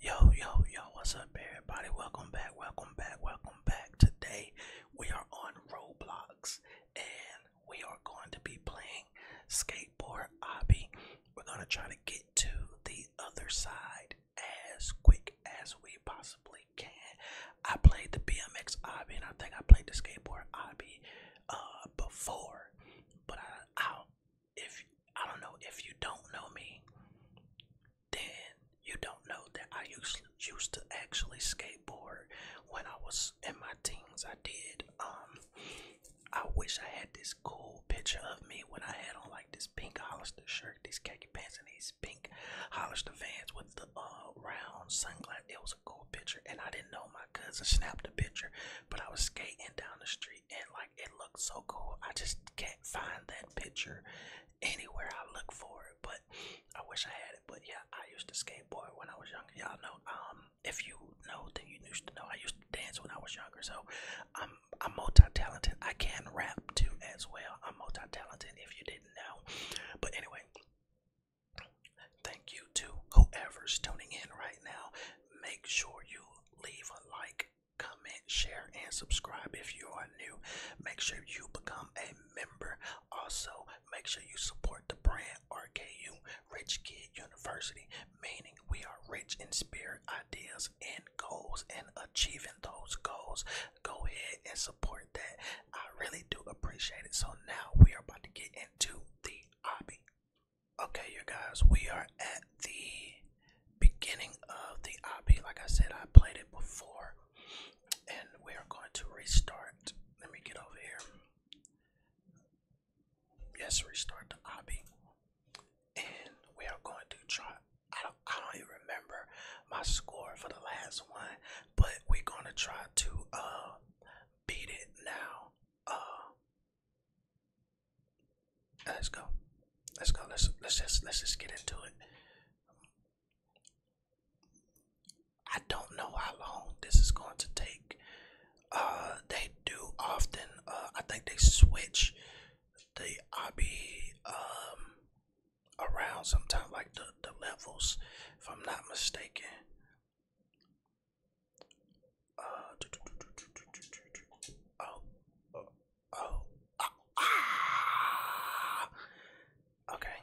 Yo, yo, yo, what's up, everybody? Welcome back, welcome back, welcome back. Today we are on Roblox and we are going to be playing Skateboard Obby. We're going to try to get to the other side as quick as we possibly can. I played the BMX Obby and I think I played the Skateboard Obby uh, before, but I, I, if I don't know if you don't know me, then you don't know that I used used to actually skateboard when I was in my teens. I did. Um, I wish I had this cool picture of me when I had on like this pink Hollister shirt, these khaki pants, and these pink Hollister Vans with the uh, round sunglasses. It was a cool picture, and I didn't know my cousin snapped the picture, but I was skating down the street country and like it looked so cool. I just can't find that picture anywhere I look for it, but I wish I had it. But yeah, I used to skateboard when I was younger. Y'all know, um, if you know, then you used to know. I used to dance when I was younger, so I'm I'm multi-talented. I can rap too as well. I'm multi-talented. If you didn't know, but anyway. Thank you to whoever's tuning in right now. Make sure you leave a like comment, share, and subscribe if you are new. Make sure you become a member. Also, make sure you support the brand RKU Rich Kid University, meaning we are rich in spirit, ideas, and goals, and achieving those goals. Go ahead and support that. I really do appreciate it. So now we are about to get into the hobby. Okay, you guys, we are at the beginning of the obby. Like I said, I played it before, and we are going to restart. Let me get over here. Yes, restart the obby, and we are going to try. I don't, I don't even remember my score for the last one, but we're going to try to uh, beat it now. Uh, uh, let's go. Let's go. Let's let's just let's just get into it. I don't know how long this is going to take. Uh, they do often. Uh, I think they switch the obby um around sometimes, like the the levels, if I'm not mistaken. Oh, oh, oh, Ah! Okay.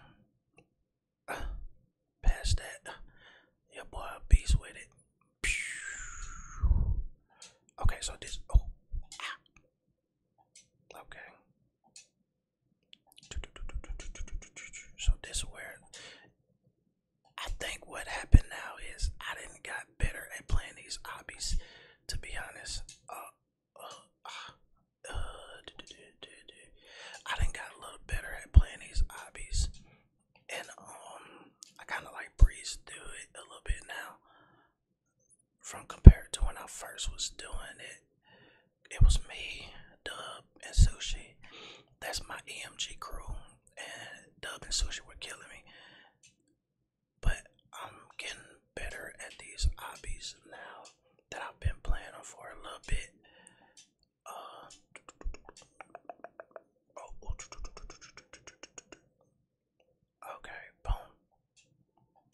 pass that. Your boy a beast with it. Okay, so this. Oh. Okay. So this where I think what happened now is I didn't got better at playing these hobbies. To be honest, uh, uh, uh, I didn't got a little better at playing these hobbies, and um, I kind of like breeze through it a little bit now. From compared to when I first was doing it, it was me, Dub, and Sushi. That's my EMG crew and dub and sushi were killing me. But I'm getting better at these hobbies now that I've been playing them for a little bit. Uh, okay, boom.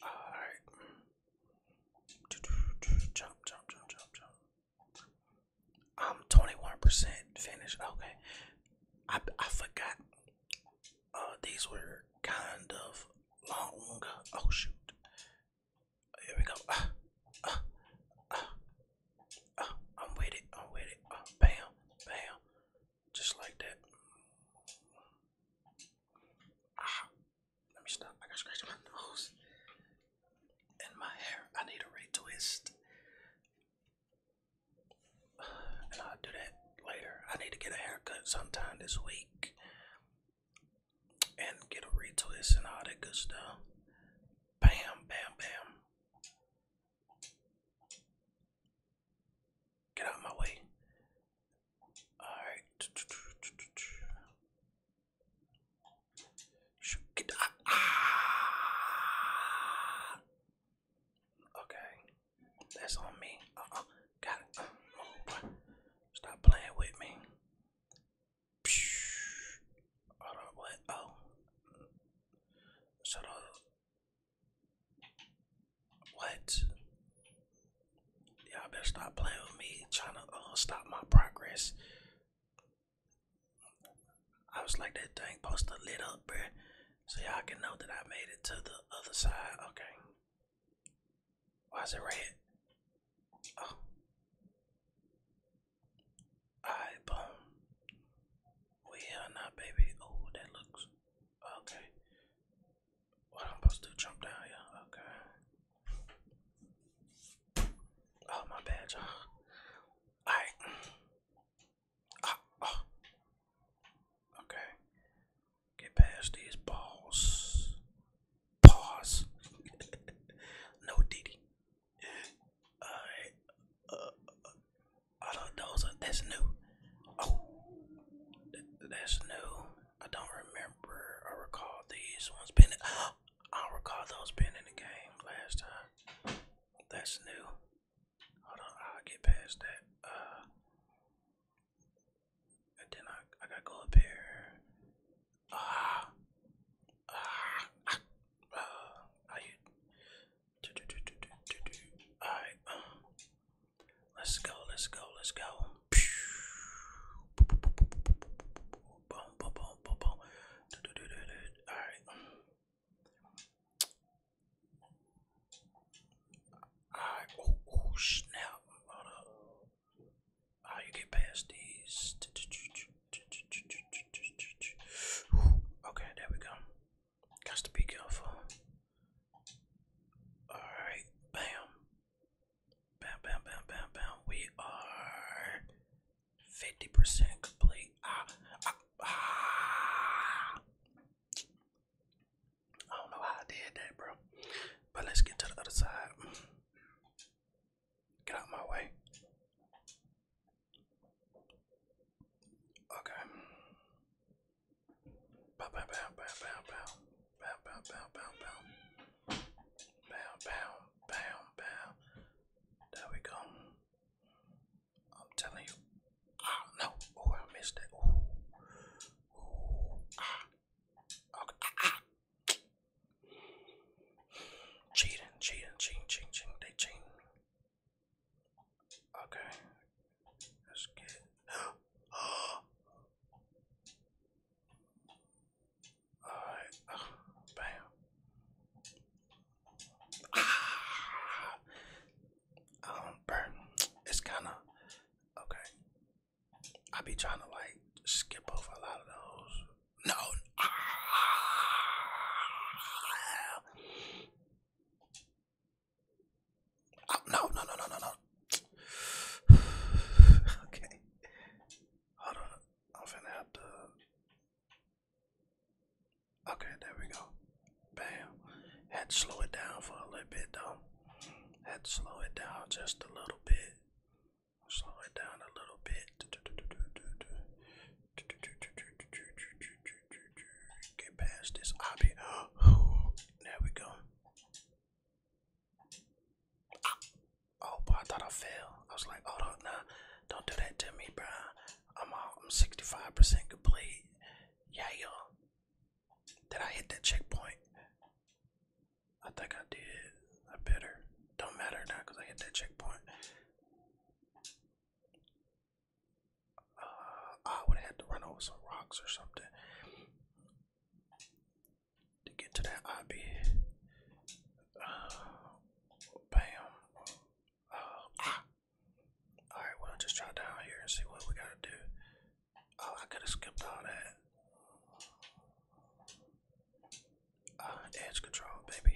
Alright. Jump, jump, jump, jump, jump. I'm 21% finished. Okay. I, I forgot. Uh, these were kind of long. Oh, shoot. Here we go. Uh, uh, I'm with it. I'm with it. bam. Bam. Just like that. Ah. let me stop. I got scratch my nose and my hair. I need a retwist. And I'll do that later. I need to get a haircut sometime this week. And get a retwist and all that good stuff. Bam, bam, bam. Get out my way. Alright. Get, ah. Okay, that's on me. Uh -uh. Got it. Oh, Stop playing with me. what? Oh, shut up. What? you better stop playing with me, trying to uh, stop my progress. I was like, that thing supposed to lit up, bruh. So y'all can know that I made it to the other side. Okay. Why is it red? Oh. Alright, We here now, baby. Oh, that looks okay. What I'm supposed to jump down here. Okay. Oh my bad, y'all. All right. oh. Ah, ah. Okay. Get past these balls. Pause. no Diddy. Alright. Uh, uh, uh those are, that's new. Oh, that's new. I don't remember or recall these ones being. I recall those being in the game last time. That's new. Hold on, i get past that. Uh, and then I I gotta go up here. Ah, uh, ah, uh, uh, I. All right, um, let's go, let's go, let's go. Alright. Alright. Oh, oh, snap. Hold up. How you get past these? Okay, there we go. Got to be careful. Alright, bam. Bam, bam, bam, bam, bam. We are 50% complete. Ah, ah, ah. I don't know how I did that, bro. But let's get to the other side. Get out of my way. Okay. Bam, bam, bam, bam, bam, bam. Bam, bam, bam, bam, bam. Bam, bam, bam, bam. There we go. I'm telling you. Ah, no. Oh, I missed it. Ooh. Ooh. Ah. Okay. Ah, ah. Cheating, cheating, cheating, cheating, cheating. They cheating. Okay. Let's get. Alright. bam. Ah! Um, burn. It's kind of. Okay. I be trying to like skip over a lot of those. No. Ah. Oh, no, no, no, no, no, no. okay. Hold on. I'm finna have to. Okay, there we go. Bam. Had to slow it down for a little bit though. Had to slow it down just a little bit. Slow it down a little bit. Get past this obby. There we go. Oh, boy, I thought I failed. I was like, oh, don't, nah, don't do that to me, bro. I'm all, I'm 65% complete. Yeah, yo. Did I hit that checkpoint? I think I did. I better. Don't matter now because I hit that checkpoint. Uh, I would have had to run over some rocks or something to get to that IB. Uh, bam. Uh, ah. Alright, well, just try down here and see what we gotta do. Oh, I could have skipped all that. edge control, baby.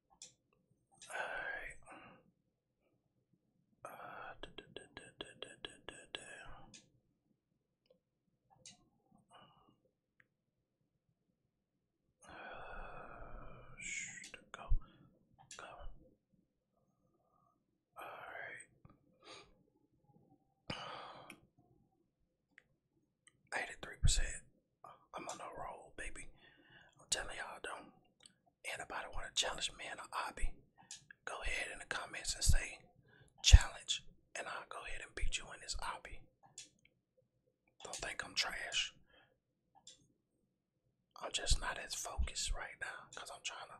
Alright. Uh, da, da, da, da, da, da, da, da. Uh, shoot, go, go. All right. 83%. I'm on a roll, baby. I'm telling y'all, don't anybody want to challenge me in an hobby? Go ahead in the comments and say challenge, and I'll go ahead and beat you in this hobby. Don't think I'm trash. I'm just not as focused right now because I'm trying to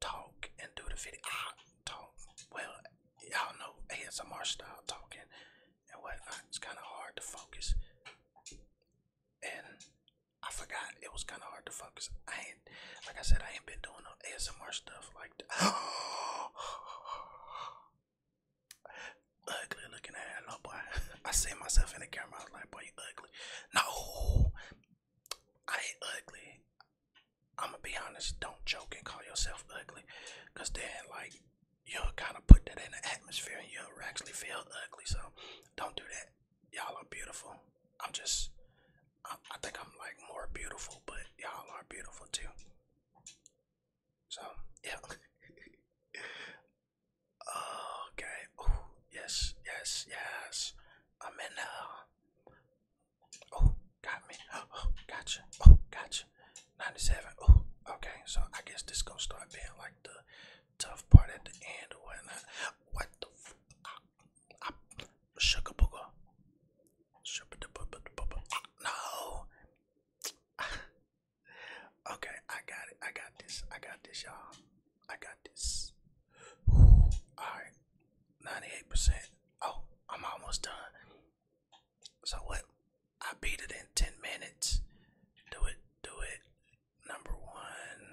talk and do the video. I talk. Well, y'all know ASMR style talking and whatnot. Uh, it's kind of hard to focus, and I forgot it was kind of hard to focus. I ain't, like I said, I ain't been doing no ASMR stuff like that. ugly looking at it, no boy. I see myself in the camera. I was like, boy, you ugly. No, I ain't ugly. I'm gonna be honest. Don't joke and call yourself ugly, cause then like you'll kind of put that in the atmosphere and you'll actually feel ugly. So don't do that. Y'all are beautiful. I'm just, I, think I'm like more beautiful, but y'all are beautiful too. So, yeah. okay. yes, yes, yes. I'm in there. Uh, Oh, got me. Oh, oh, gotcha. Oh, gotcha. 97. Oh, okay. So I guess this gonna start being like the tough part at the end or What the f I, I sugar booger. No. okay, I got it. I got this. I got this, y'all. I got this. Alright. 98%. Oh, I'm almost done. So what? I beat it in 10 minutes. Do it, do it. Number one.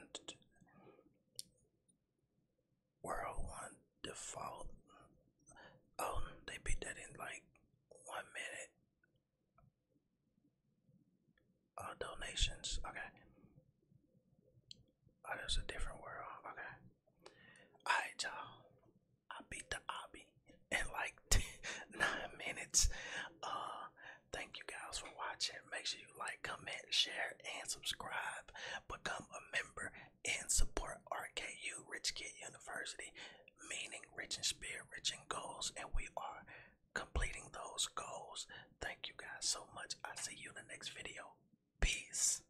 World one default. Oh, they beat that in like one minute. Oh, donations. Okay. Oh, there's a different world. Okay. Alright, y'all. I beat the obby in like nine minutes. Uh, thank you guys for watching. Make sure you like, comment, share, and subscribe. Become a member and support RKU Rich Kid University, meaning rich in spirit, rich in goals, and we are completing those goals. Thank you guys so much. i see you in the next video. Peace.